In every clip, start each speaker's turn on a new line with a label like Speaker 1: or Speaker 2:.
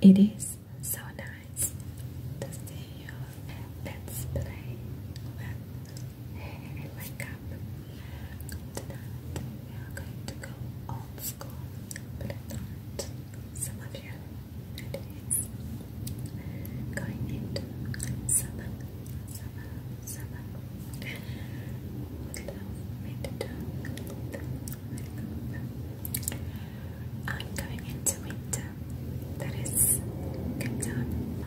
Speaker 1: It is so nice to see you. Let's play with hair and Tonight we are going to go old school, but not some of you. It is going into summer, summer, summer. Would love me to do I'm going into winter. That is good time.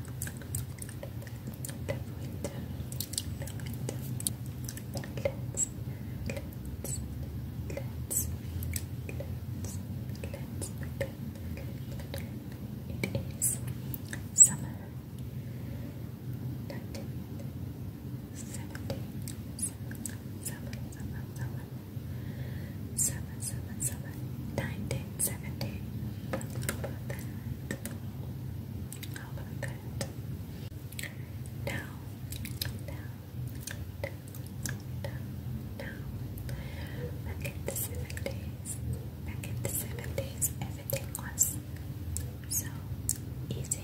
Speaker 1: The winter, the winter. Let's, let's, let's, let's, let's pretend it is summer. Not seventy, seven, seven, seven, seven, seven, seven, seven, nineteen, seventy. How about that? about that? Now, now, now, now, now. Back in the seventies, back in the seventies, everything was so easy.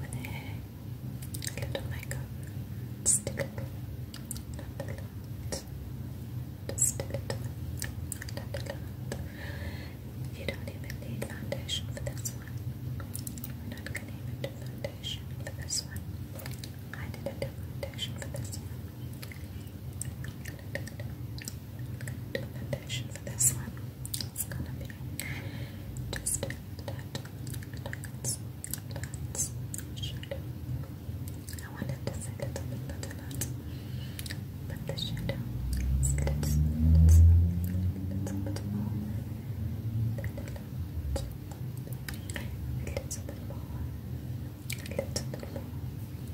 Speaker 1: With a little makeup stick. Just a little. You don't even need foundation for this one. We're not gonna even do foundation for this one. I didn't do foundation for this one. I'm gonna do a foundation for this one. It's gonna be just that dots, dots, shadow. I wanted to say little bit, but a lot. But the shadow is little, little, little bit more than a lot. A little bit more, a little bit more.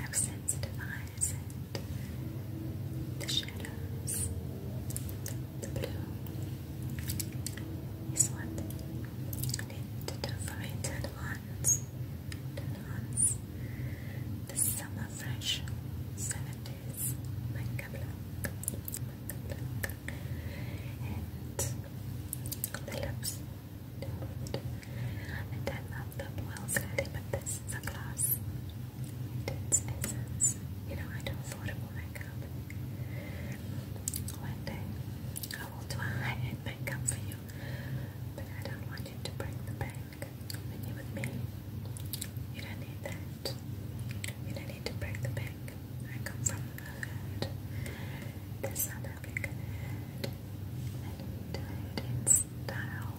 Speaker 1: I've sensitized the shadows, the blue is what I need to do for it to enhance, the summer fresh 70s makeup look, makeup look. and the lips, the and I love the oil setting, but this is a gloss. Intense essence. You know, I do affordable makeup. One day I will do a high end makeup for you, but I don't want you to break the bank. When you with me, you don't need that. You don't need to break the bank. I come from the hood, the South African hood, and do it in style.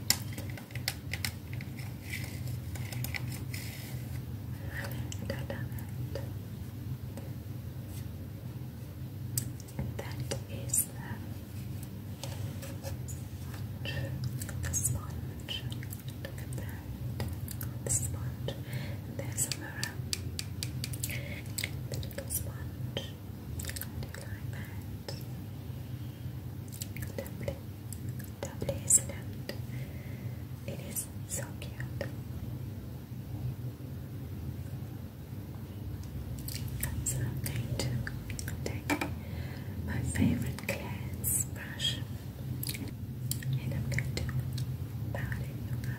Speaker 1: And I That is the sponge. The sponge. Look at that. The sponge. there's a mirror. The little sponge. Do you is so cute. I'm going to take my favorite glass brush and I'm going to powder you up.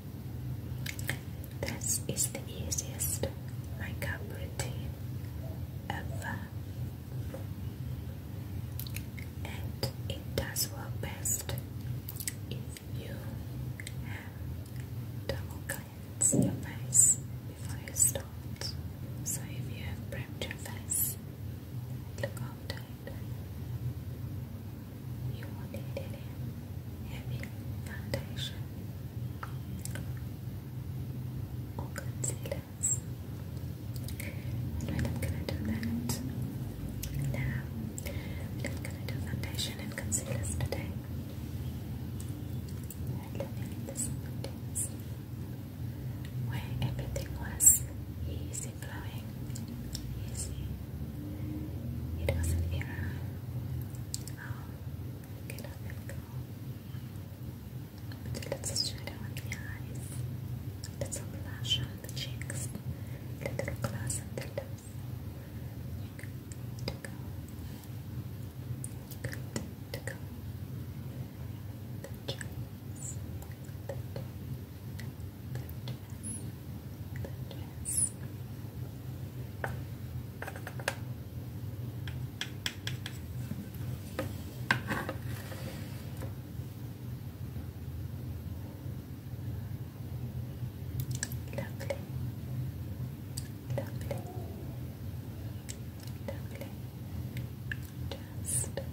Speaker 1: This is the easiest makeup routine ever, and it does work best if you have double cleanse your face before you start. So if you have prepped your face, look after it you need it in foundation or concealers. And I'm gonna do that now, I'm gonna do foundation and concealers today. I live in the where everything was easy flowing, easy it was an error. How can I let go? But let us shadow on the eyes, a little blush on the cheeks, little gloss on the lips. to go. to go. The cheeks, Goodness. Lovely. Lovely. Lovely. Just like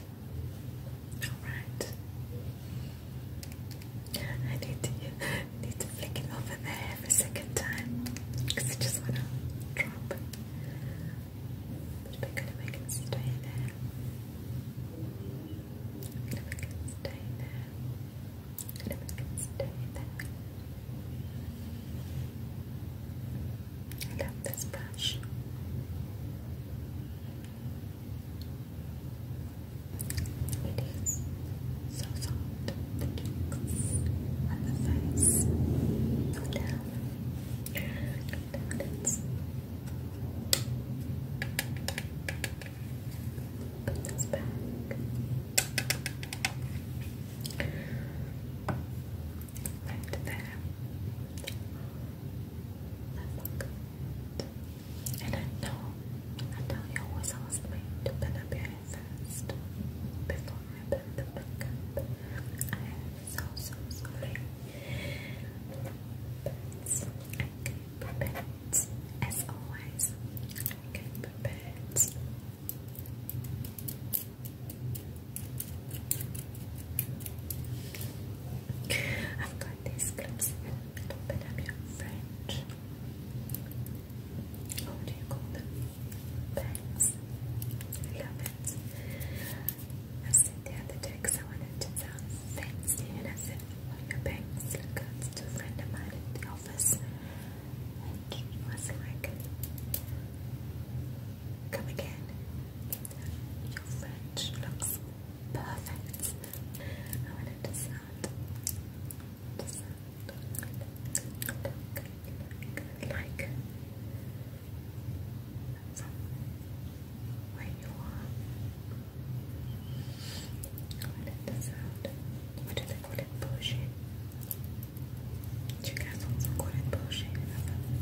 Speaker 1: Alright. I need to need to flick it over there every second time because I just want to drop. But we're going make it stay there. I'm stay there. I'm stay there. I love this brush. It is so soft, the tickles the face, no down, no downwards. Put this back right there. And I know, I know you always ask me to pin up your first before I put the makeup. I am so, so sorry. But I can prepare it, as always. I can prepare it. I've got these clips that open up do you call them? Bangs. I love it. I said the other day because I wanted to sound fancy and I said, well, your bangs look good a friend of mine at the office. And she was like, Come again. Your French looks perfect. I want it to sound, like from you are. I want it to sound, what do bullshit? Do you guys also call it bullshit?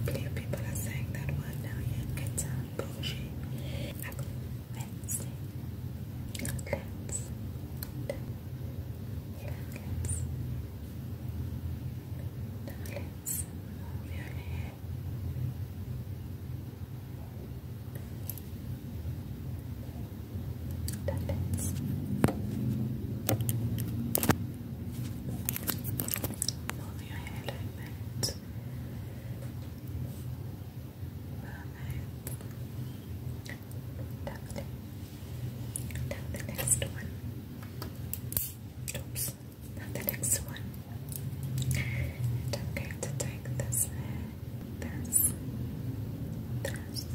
Speaker 1: i people are saying that one million you time bullshit. Let's see. Let's. let move your head. let only a highlight that. Perfect. Lovely. Now the next one. Oops. Now the next one. And I'm to take this This. This.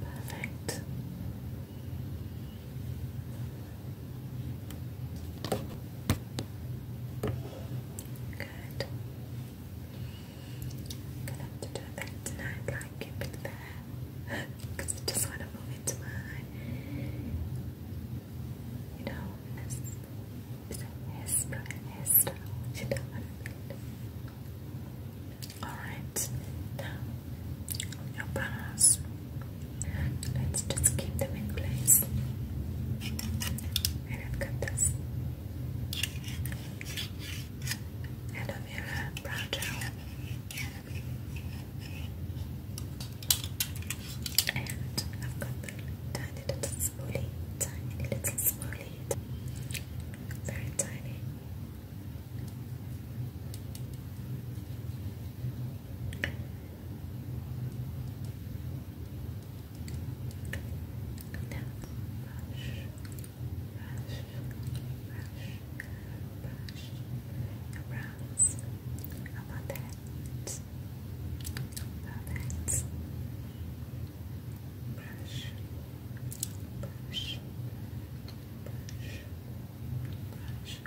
Speaker 1: Perfect. Good. gonna do that tonight, like keep it I just want to move into you know, his, is his, style, you Alright, now, your brows, let's just keep them in place. And I've got this aloe brow gel. And I've got the tiny little spoolie, tiny little spoolie, very tiny. Now, brush, brush, brush, brush your brows about that? About Brush, brush, brush, brush. that,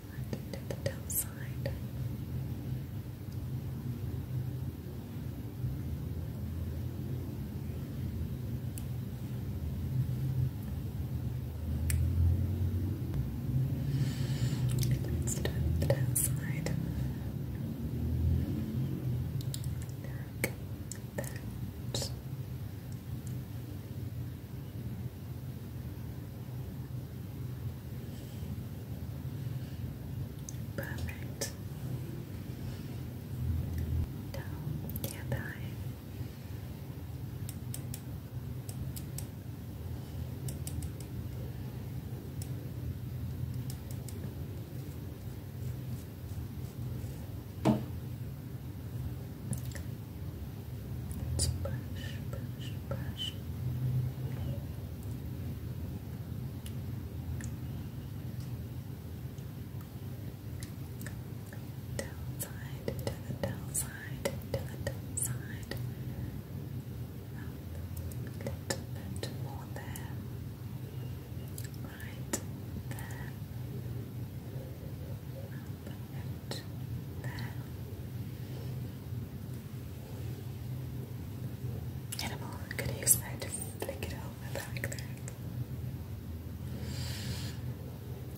Speaker 1: side, to the downside. let's do the down side. Like that. Perfect. Down the other eye. Let's brush, to the down to the down A little bit more there. Right there. Put it use that to flick it over like that.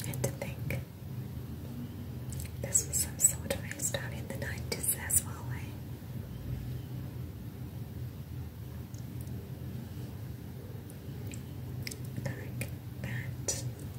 Speaker 1: And to think, this was some sort of race down in the 90s as well, eh? Like that.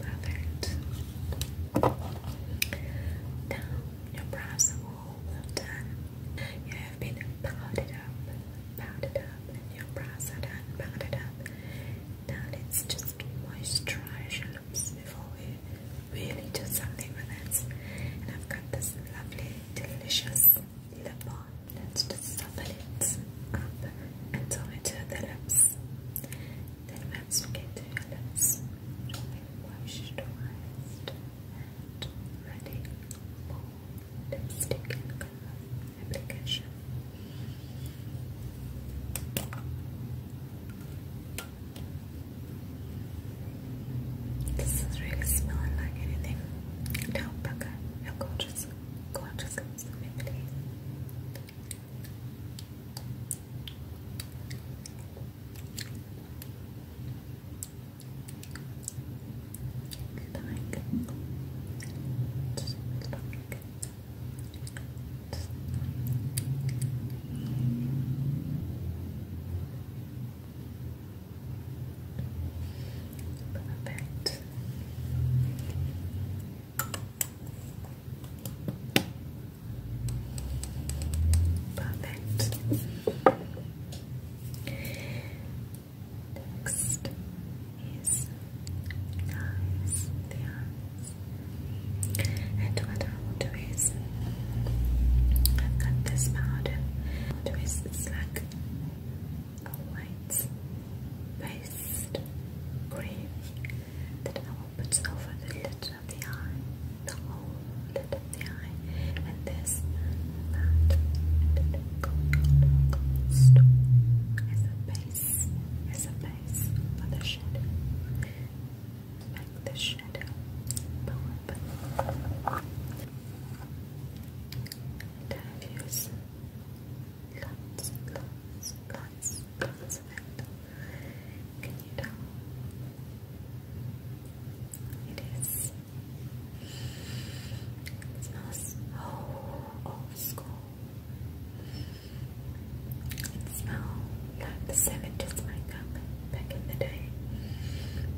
Speaker 1: Perfect. Now your brows are all done. You have been powdered up, powdered up, and your brows are done, powdered up. Now let's just moisturize lips before we really do something with it. And I've got this lovely, delicious lip balm. Let's just suffer it up until we do the lips. Then once we get to your lips, moisturized, and ready for lipstick application. This is really smelling like anything. Don't bug it. No gorgeous, gorgeous comes to me, just like, Perfect. Perfect. Next is eyes, the eyes, and whether what is I've got this powder. What is it's like white paste cream that I will put over the lid of the eye, the whole lid of the eye, and this that as a base, as a base for the shadow make the shadow pop. And I've lots, lots, lots, lots of it. Can you tell? It is. It smells old school. It smells like the 70s makeup back in the day.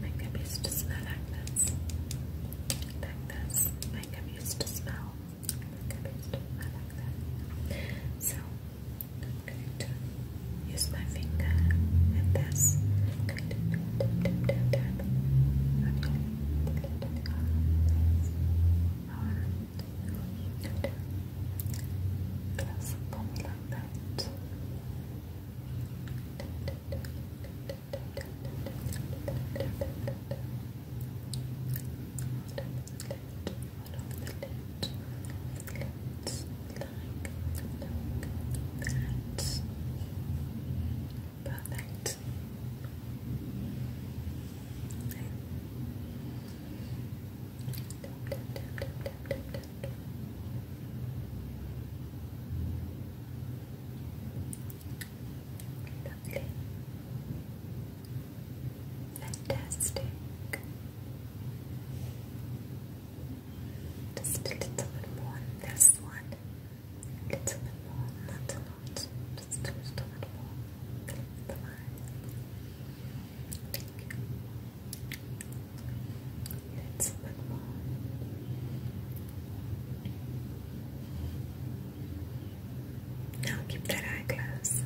Speaker 1: Makeup used to smell like this. Like this. Makeup used to smell. Makeup used to like that. So i to use my finger and this. I'm going to tap, tap, tap, tap, tap. Okay. Alright. Glass of like that. Perfect. Okay. Tap, tap, tap, tap, tap, Lovely. Fantastic. Just a little bit more on one. A little bit more, not a lot. Just a little bit more. Thank you. Let's put more. Now keep that eye closed.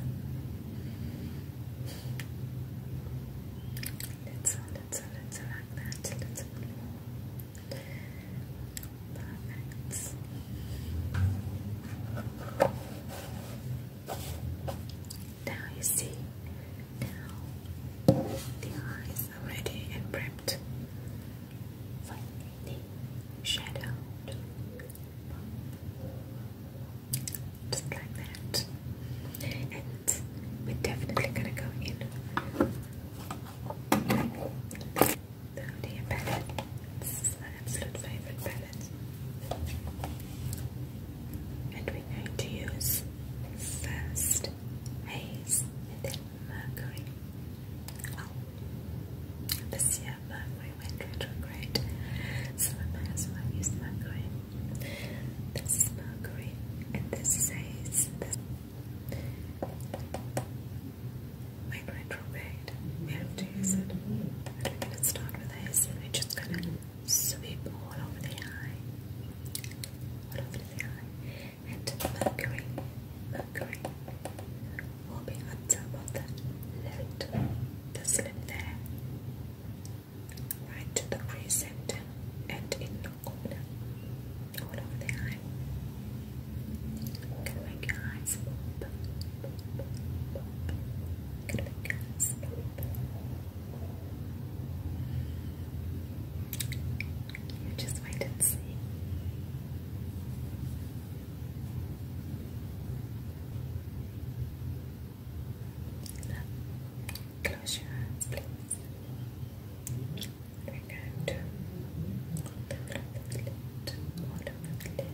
Speaker 1: Let's all, let's all, let's all Let's all. Perfect. Now you see, now the eye is already and prepped the shadow Just like that. And we're definitely gonna go in the Odia palette. This is absolute favorite palette and we're going to use first haze and then mercury. Oh, this year mercury went retrograde, so I might as well use mercury. This is mercury and this is retrograde, we have to use it. we're going to start with haze and we just going to sweep all over the eye, over the eye, and mercury, mercury will be on top of the lid, the slit there, right to the crescent and in the corner, over the eye. Can make eyes Can make eyes you just wait and see. close your eyes, please. We're going to all over the lid, all over the lid.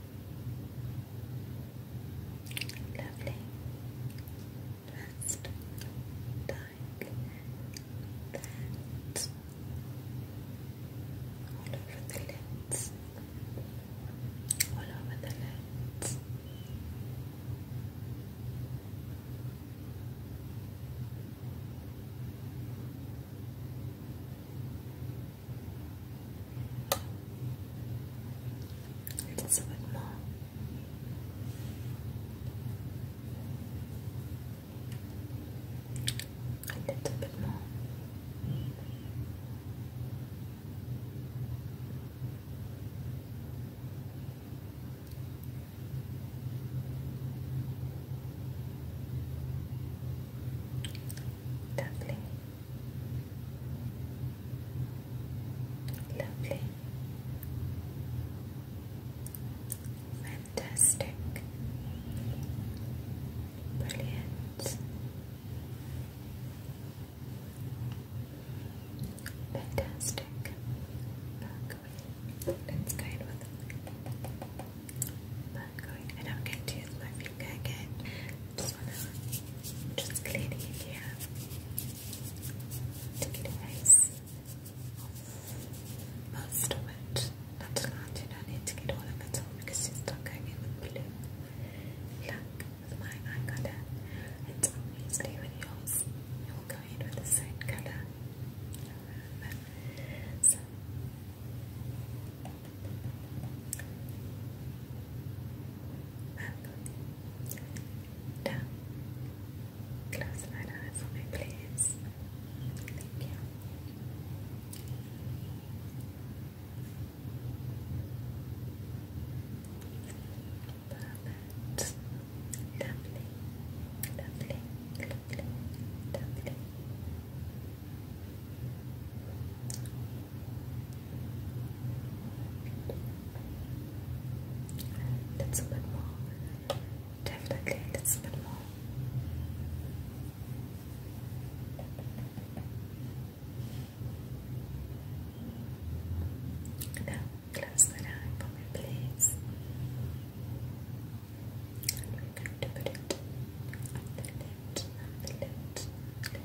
Speaker 1: Lovely. Last time that all over the lids, all over the lids a little bit more. A little bit more. Lovely. Lovely. Fantastic. Brilliant. Fantastic. Let's go in with Mercury. And I'm going to use my Okay, good. Just wanna just clean it here. Take it away. Most of it. Not a lot, you don't need to get all of it off because she's not going in with blue. Look, with mine I got It's obviously with yours. It will go in with the same colour down. Close my eyes for me, please. Thank you. Perfect. Lovely, lovely, lovely, lovely. That's a bit more. Definitely, that's a bit more. Now, close that eye for me, please. And we're going to put it the lid, the lid, lid.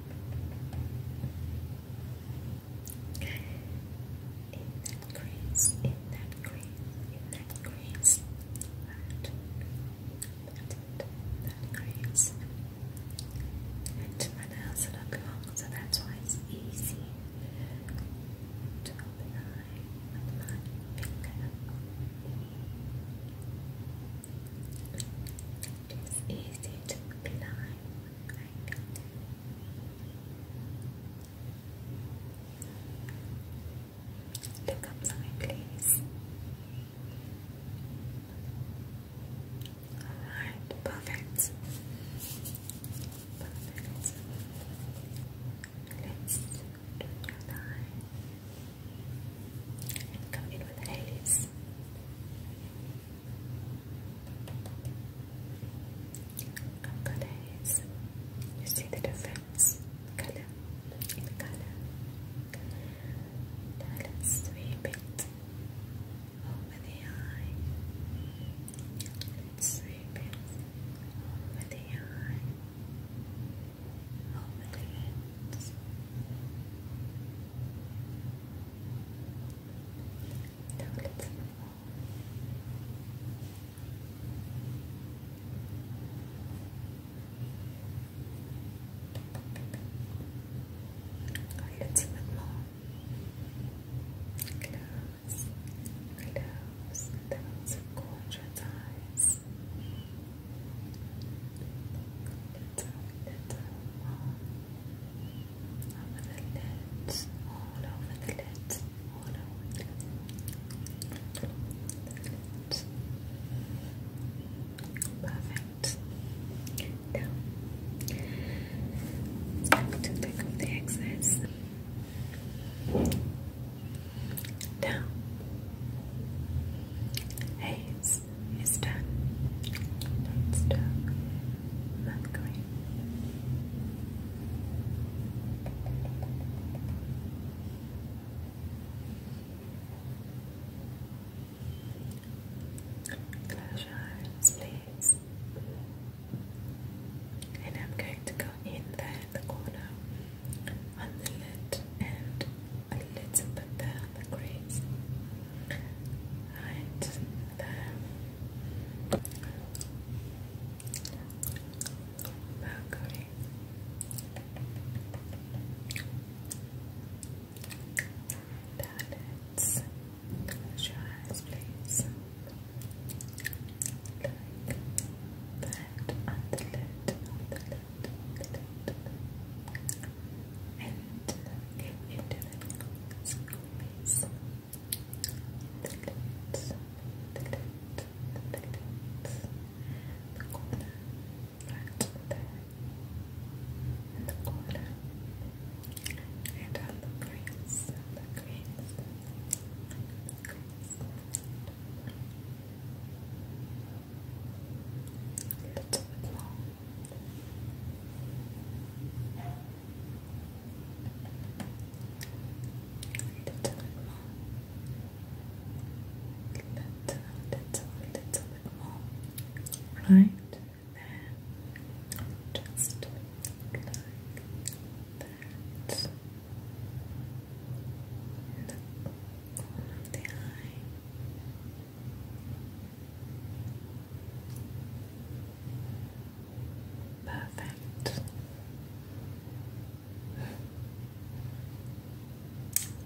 Speaker 1: that crease, in that crease, in that crease, that, that, that crease. And my nails are not long, so that's why easy to open eye with my finger. It is easy to be lying when please. Alright, perfect. Perfect. Let's do your line come in with the I've got You see the difference? Color in color. Now let's sweep it over the eye. Let's sweep it over the eye. Over the lips. Now let's move on. Close, close those gorgeous eyes. Little, little more. Over the lids, all over the lids, all over the lids. Perfect. Now, let's going to the excess. Down. Haze is done. Let's do Mercury. Close your eyes, please. And I'm going to go in there the corner on the lid and a little bit there the crease. Right there. Mercury. Planets. Close your eyes, please. the lid, on the lid, on the lid and get into the little The lips, the lips, the lips, the corner, the corner, and the crease, the crease, little bit long little bit more. Little, little, little bit more. Right there. Just that. In the corner of the eye. Perfect.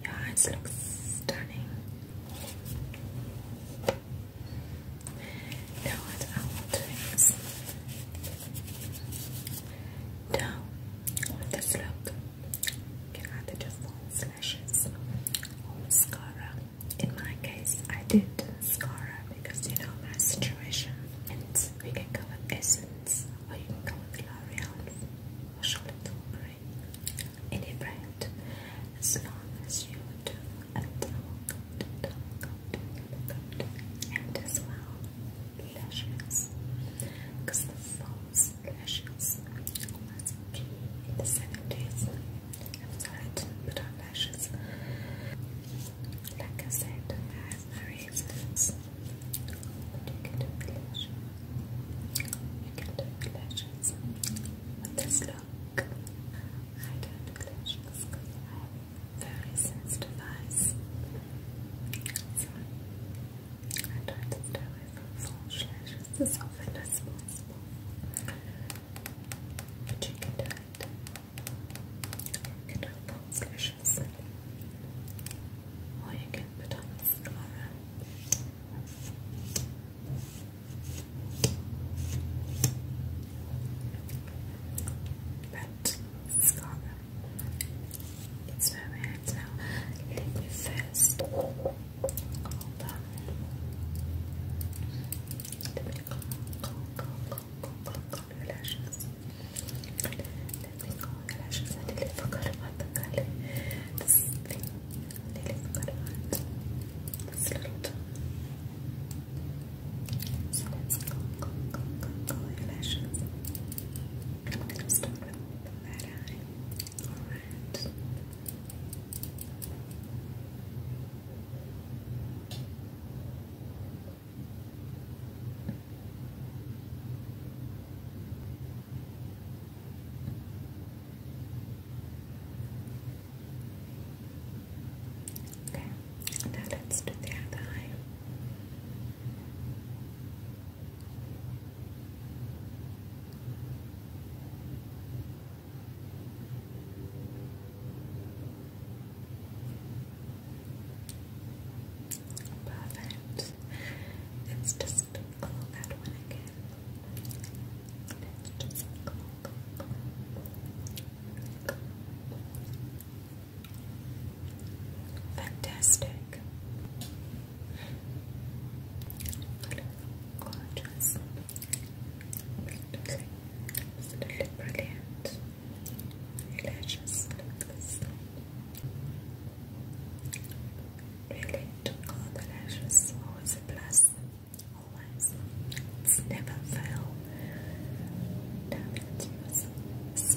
Speaker 1: Your eyes look stunning. Now what I will is now with this look, you can either do lashes or mascara in my case, I did Scara because you know my situation. And we can go with Essence, or you can go with L'Oreal, or Charlotte Tilbury, any brand, as long as you do a and as well lashes, because false lashes was key in the 70s. I've started but on lashes. Like I said, I have my reasons. you can do lashes. You can do lashes. With this look, I don't do lashes I have very sensitive eyes. So I try to stay away from lashes as often as but you can do it. You can do both Or you can put on mascara. But mascara. It's very hard now. Let me first. Hold on. Just a bit cold, cold, cold, cold, cold, cold, your lashes. Let me call your lashes. I nearly forgot about the color. This thing. I nearly forgot about this little tool. So let's go, go, go, go, go, your lashes. I'm going to Alright it. Okay, now let's do the other eye. Perfect. Let's just call that one again. Let's just call, call, call, Fantastic. Gorgeous. Absolutely brilliant. Eyelashes like this. Really, to all the lashes, always a plus. Always. It's never fail. Damn it, it's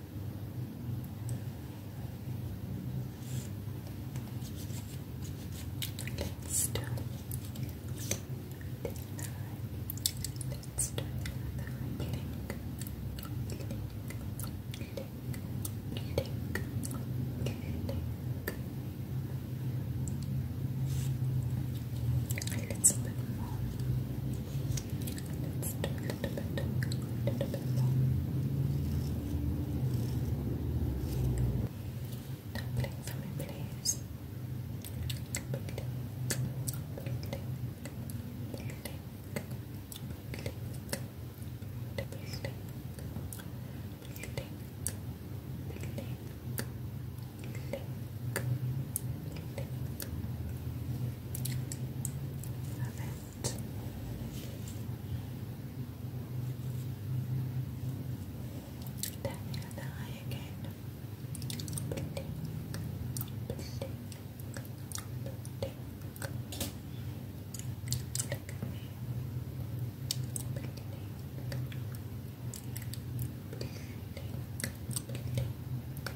Speaker 1: Let's do another. Let's do another blink, blink, blink, blink, blink. A little bit more. Let's do a little bit, a little bit more. Doubling for me, please. Doubling, doubling, doubling, doubling, doubling, doubling, doubling, doubling. Love it. Tapping on the eye again.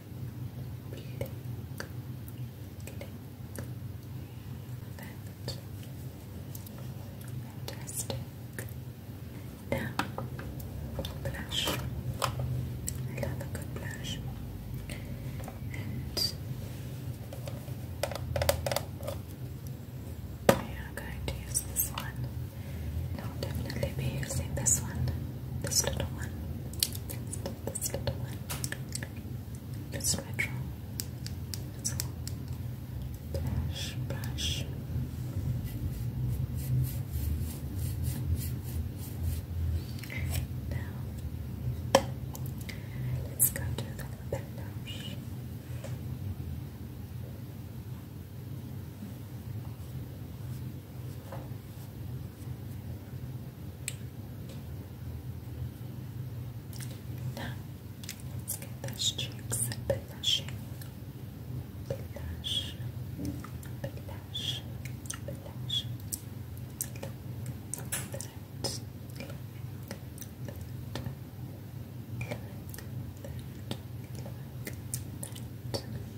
Speaker 1: bleeding, bleeding. Now, blush. I love a good blush. And we are going to use this one. I'll definitely be using this one, this little one, this, little one. It's retro. It's a brush, Now, let's go to the bandage. Okay. Now, let's get the streaks and the lashing. The lash, the lash, the lash. Look at that. Look at that. Look at that. Look at that.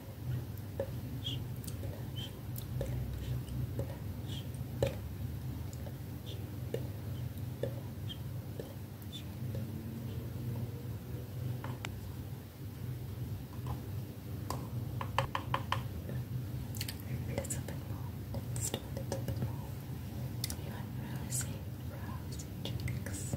Speaker 1: blush, A little bit more, let a little bit more. You have rosy, rosy cheeks.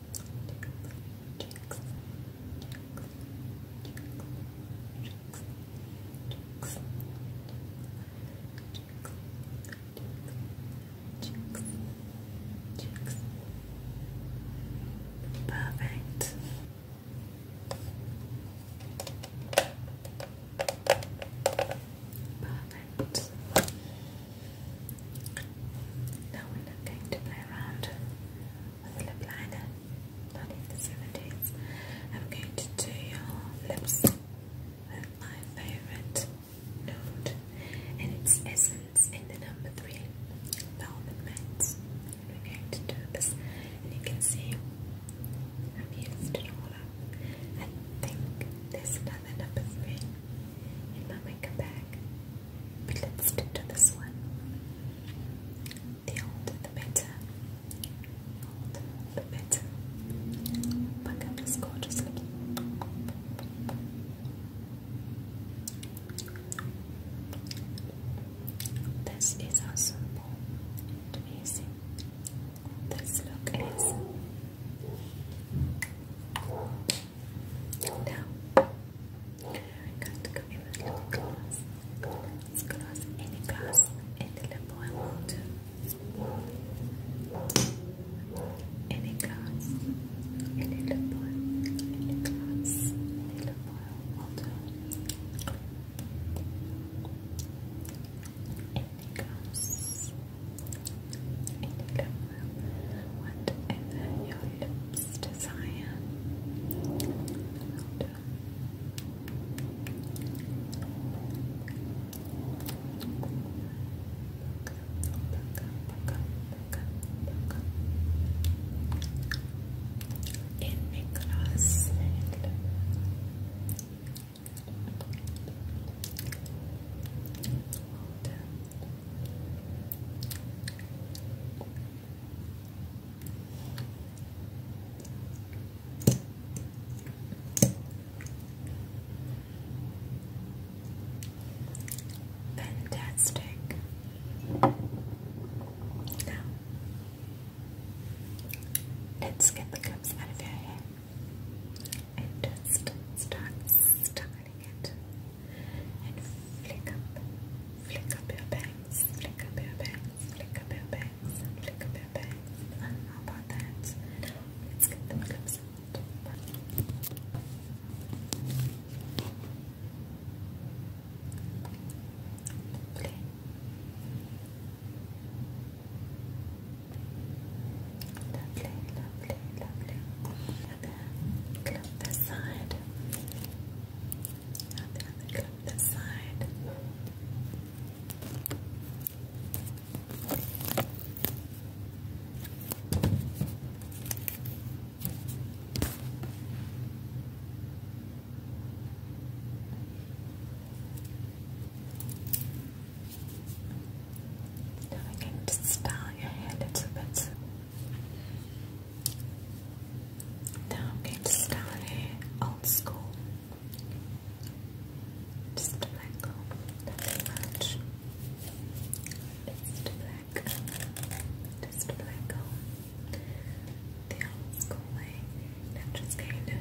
Speaker 1: Perfect. Perfect. Now we're going to play around with a lip liner, not even seven days. I'm going to do your lips with my favorite nude, and it's Essence in the number three, Velvet Mint. We're going to do this, and you can see I've used it all up. I think there's another number three in my makeup bag let's stick to this one. The older the better. Older the better. Back up gorgeous little. This is how simple amazing this look is. Now, Regarde que mes matelots classent, classent et les classes étaient les poèmes de Et les classes, elle est le poème, et les classes, elle est le poème de Et les classes, elle est le poème, whatever your lips as Zion. Hold in Nicholas Hold Fantastic. Now, let's get the cups out of your hair and just start styling it and flick up, flick bangs, flick up bangs, flick up bangs, flick up bangs. Uh, how about that? let's get the clips Play. Lovely, lovely, lovely and then this side, and this side. Now I can just style your hand, it's a bit now I'm going to scan it old school. Just black go, nothing much. Just black, just black The old school way. I'm just going to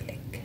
Speaker 1: slick.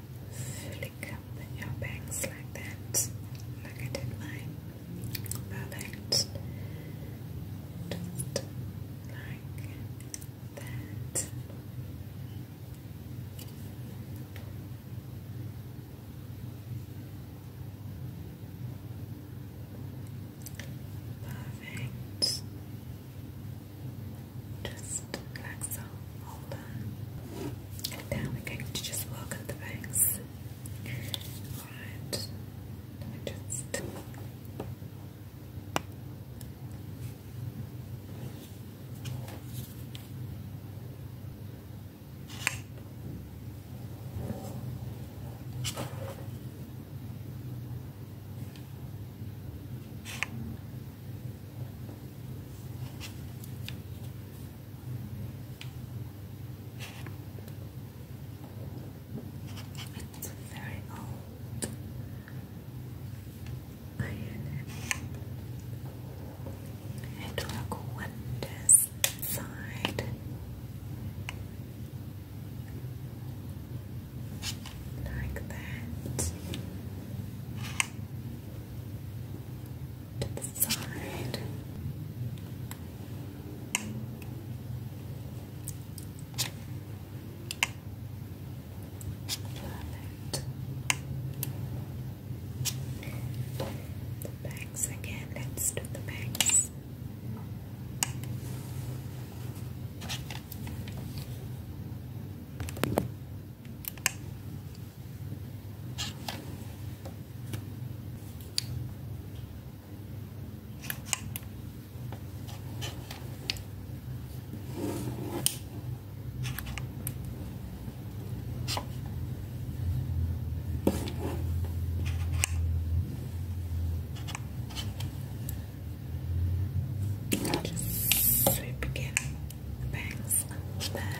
Speaker 1: flick up your bangs like that, like I did mine. Perfect. like that. Perfect. Just like hold on. now we're going to just work on the bangs. Alright. Let me just. It's very old. Iron. It work wonders inside. Like that to the side. Perfect. The backs again, let's do the backs. Just sweep again bangs there.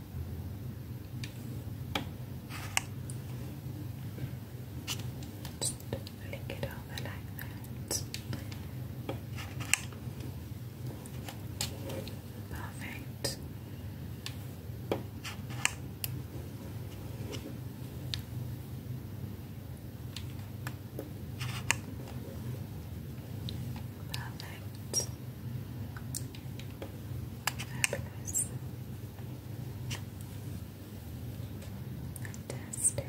Speaker 1: Just lick it over like that. Perfect. Perfect. Fabulous. Fantastic. Fantastic.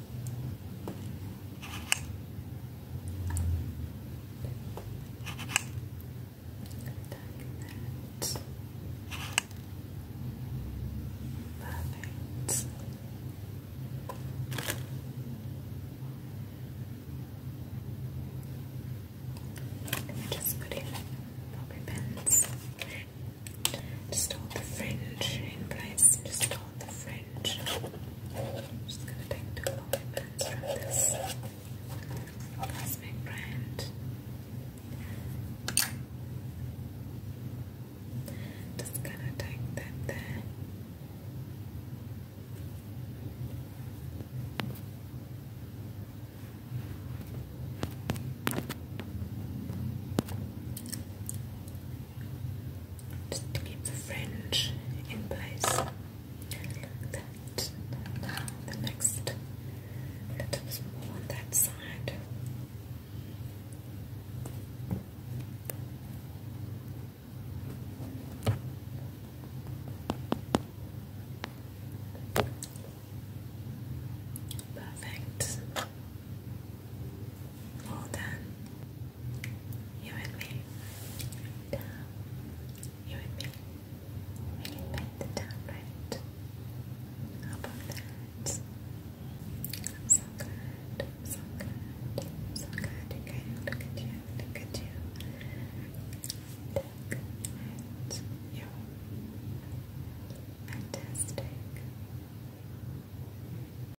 Speaker 1: Perfect. And we're just putting pins. Just hold the fringe in place. Just hold the fringe orange. i just gonna take two pigments from this cosmic brand. Just gonna take that there just to keep the fringe in place like the next little is more on that side. Perfect. All done. You and me. Down. You and me. We can paint the town right. How about that? so good. so good. so good. Okay, look at you. Look at you. Look at Fantastic.